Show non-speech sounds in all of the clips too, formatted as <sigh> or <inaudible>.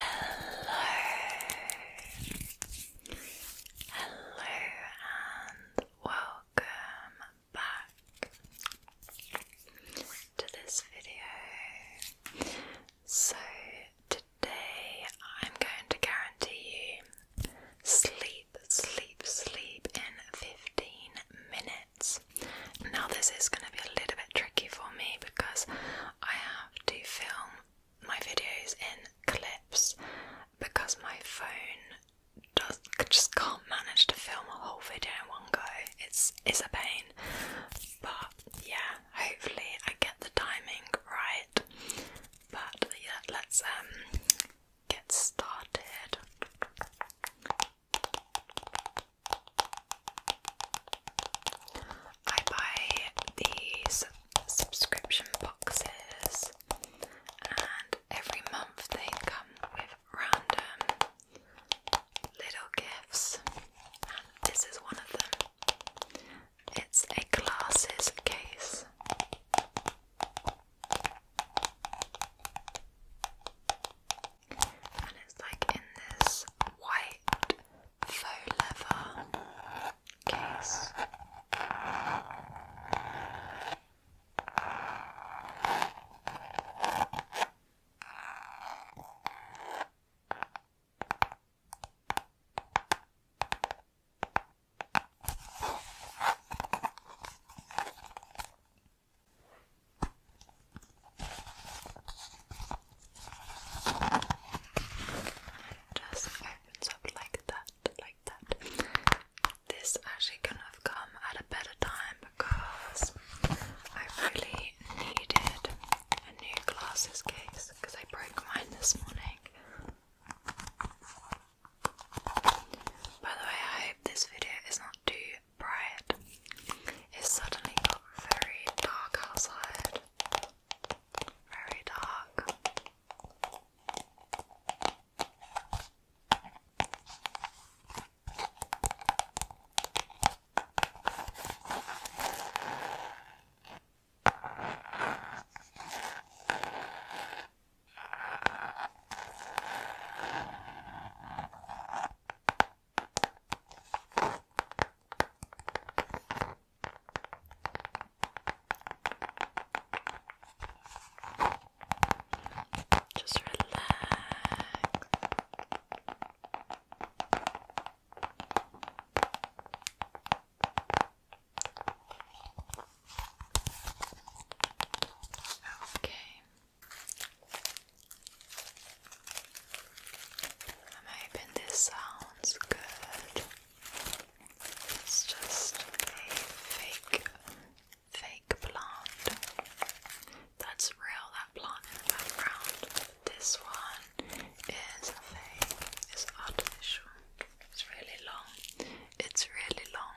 Hello, hello, and welcome back to this video. So, today I'm going to guarantee you sleep, sleep, sleep in 15 minutes. Now, this is going to be a little bit tricky for me because I have to film my videos in clips because my phone just can't manage to film a whole video in one go. It's it's a pain. But yeah, hopefully I get the timing right. But yeah, let's um get started. I buy these subscription boxes, and every month they come with random little gifts. And this is one of them. It's a glasses case. And it's like in this white faux leather case. Just opens up like that, like that. This actually couldn't have come at a better time because I really needed a new glasses case because I broke mine this morning. By the way, I hope this video is not too bright. It suddenly got very dark outside. Very dark. Just relax. Okay. Maybe this sounds good. It's just a fake, fake plant. That's real, that plant in the background. This one is a fake, it's artificial. It's really long. It's really long.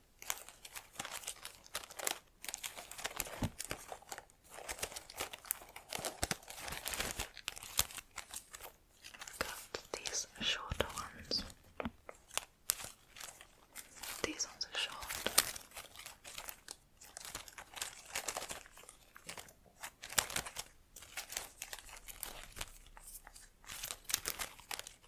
Got these shorter ones. These ones are short.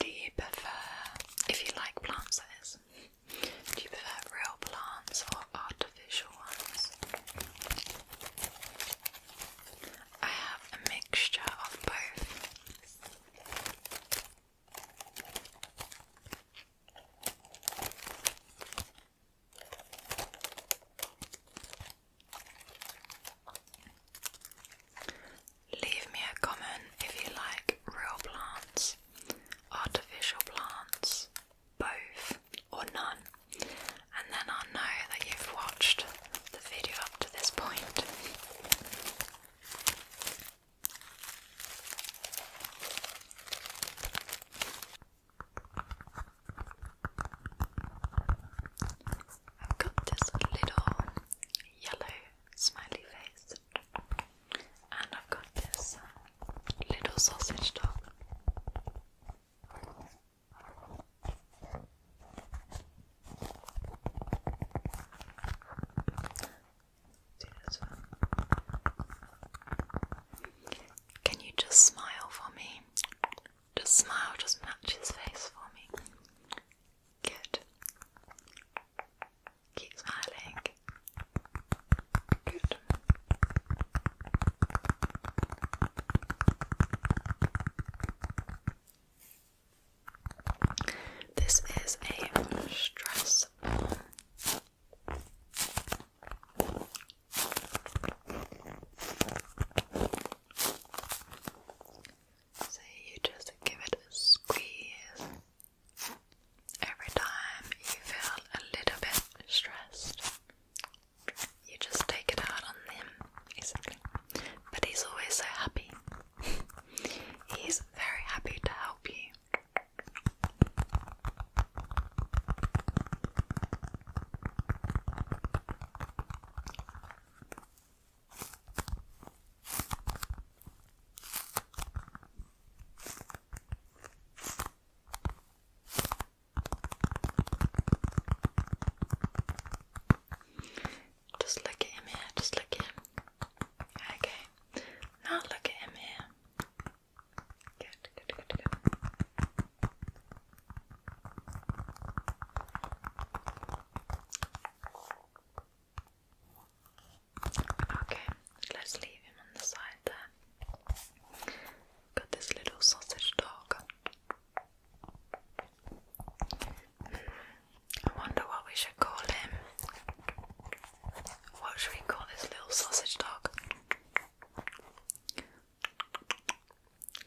Do you prefer, if you like plants, that is, do you prefer real plants or artificial ones? I have a mixture of both. Leave me a comment if you like real plants, artificial plants, both, or none, and then i know that you've watched the video up to this point. I've got this little yellow smiley face, and I've got this little sausage dog. Can you just smile for me? Just smile, just match his face for me. Good. Keep smiling. Good. This is a stress So you just give it a squeeze every time you feel a little bit stressed. You just take it out on them, basically but he's always so happy. <laughs> he's very happy to help you. Just look at him here, just look at him. Okay, now look at him here. Good, good, good, good. Okay, let's leave him on the side there. Got this little sausage dog. I wonder what we should call him. What should we call this little sausage dog?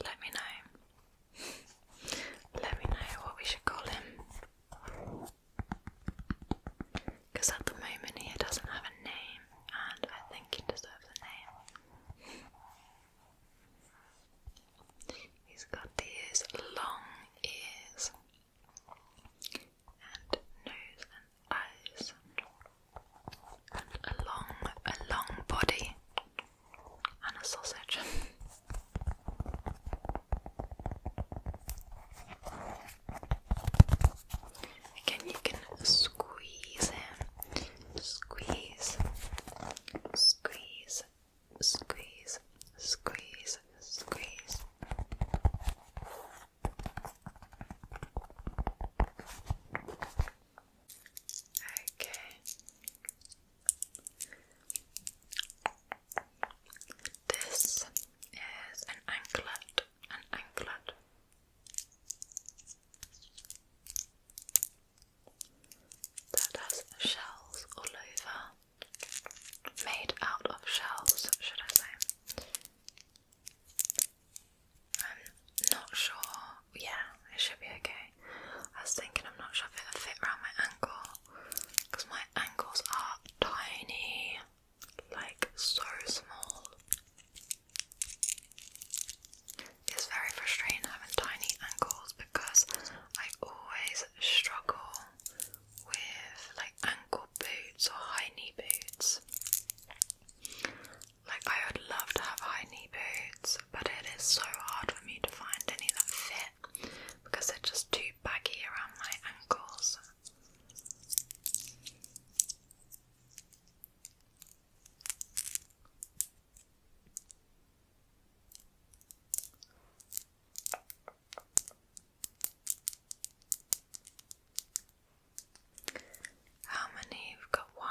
Let me know. Let me know what we should call him. Because at the moment he doesn't have a name, and I think he deserves a name. He's got these long ears and nose and eyes and a long, a long body and a sausage. Again, you can squeeze him, squeeze, squeeze, squeeze, squeeze, squeeze. Okay. This is an anklet, an anklet that has shells all over, made out of shells, should I say? I'm not sure. Yeah, it should be okay. I was thinking I'm not sure if it'll fit around my ankle because my ankles are tiny, like so small. It's very frustrating having tiny ankles because I always struggle with like ankle boots or high knee boots. Like, I would love to have high knee boots, but it is so hard for me to find any that fit because they're just too baggy around my ankles. How many? We've got one,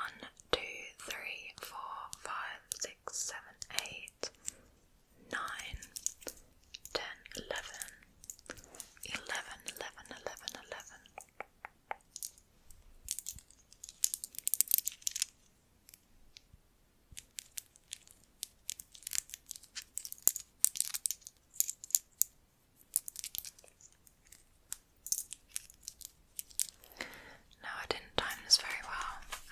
two, three, four, five, six, seven, eight, nine, ten, eleven, eleven, eleven, eleven, eleven. No, I didn't time this very well.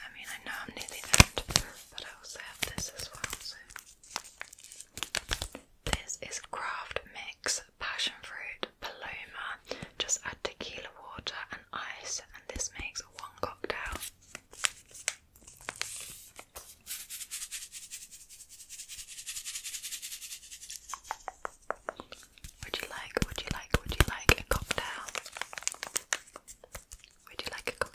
I mean, I know I'm nearly there, but I also have this as well. So, this is Craft Mix Passion Fruit Paloma just add tequila water and ice, and this makes one cocktail. Would you like, would you like, would you like a cocktail? Would you like a cocktail?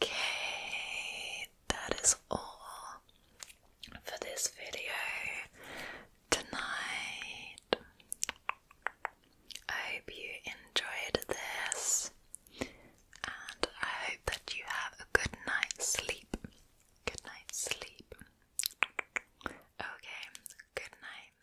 Okay, that is all for this video tonight. I hope you enjoyed this, and I hope that you have a good night's sleep. Good night's sleep. Okay, good night.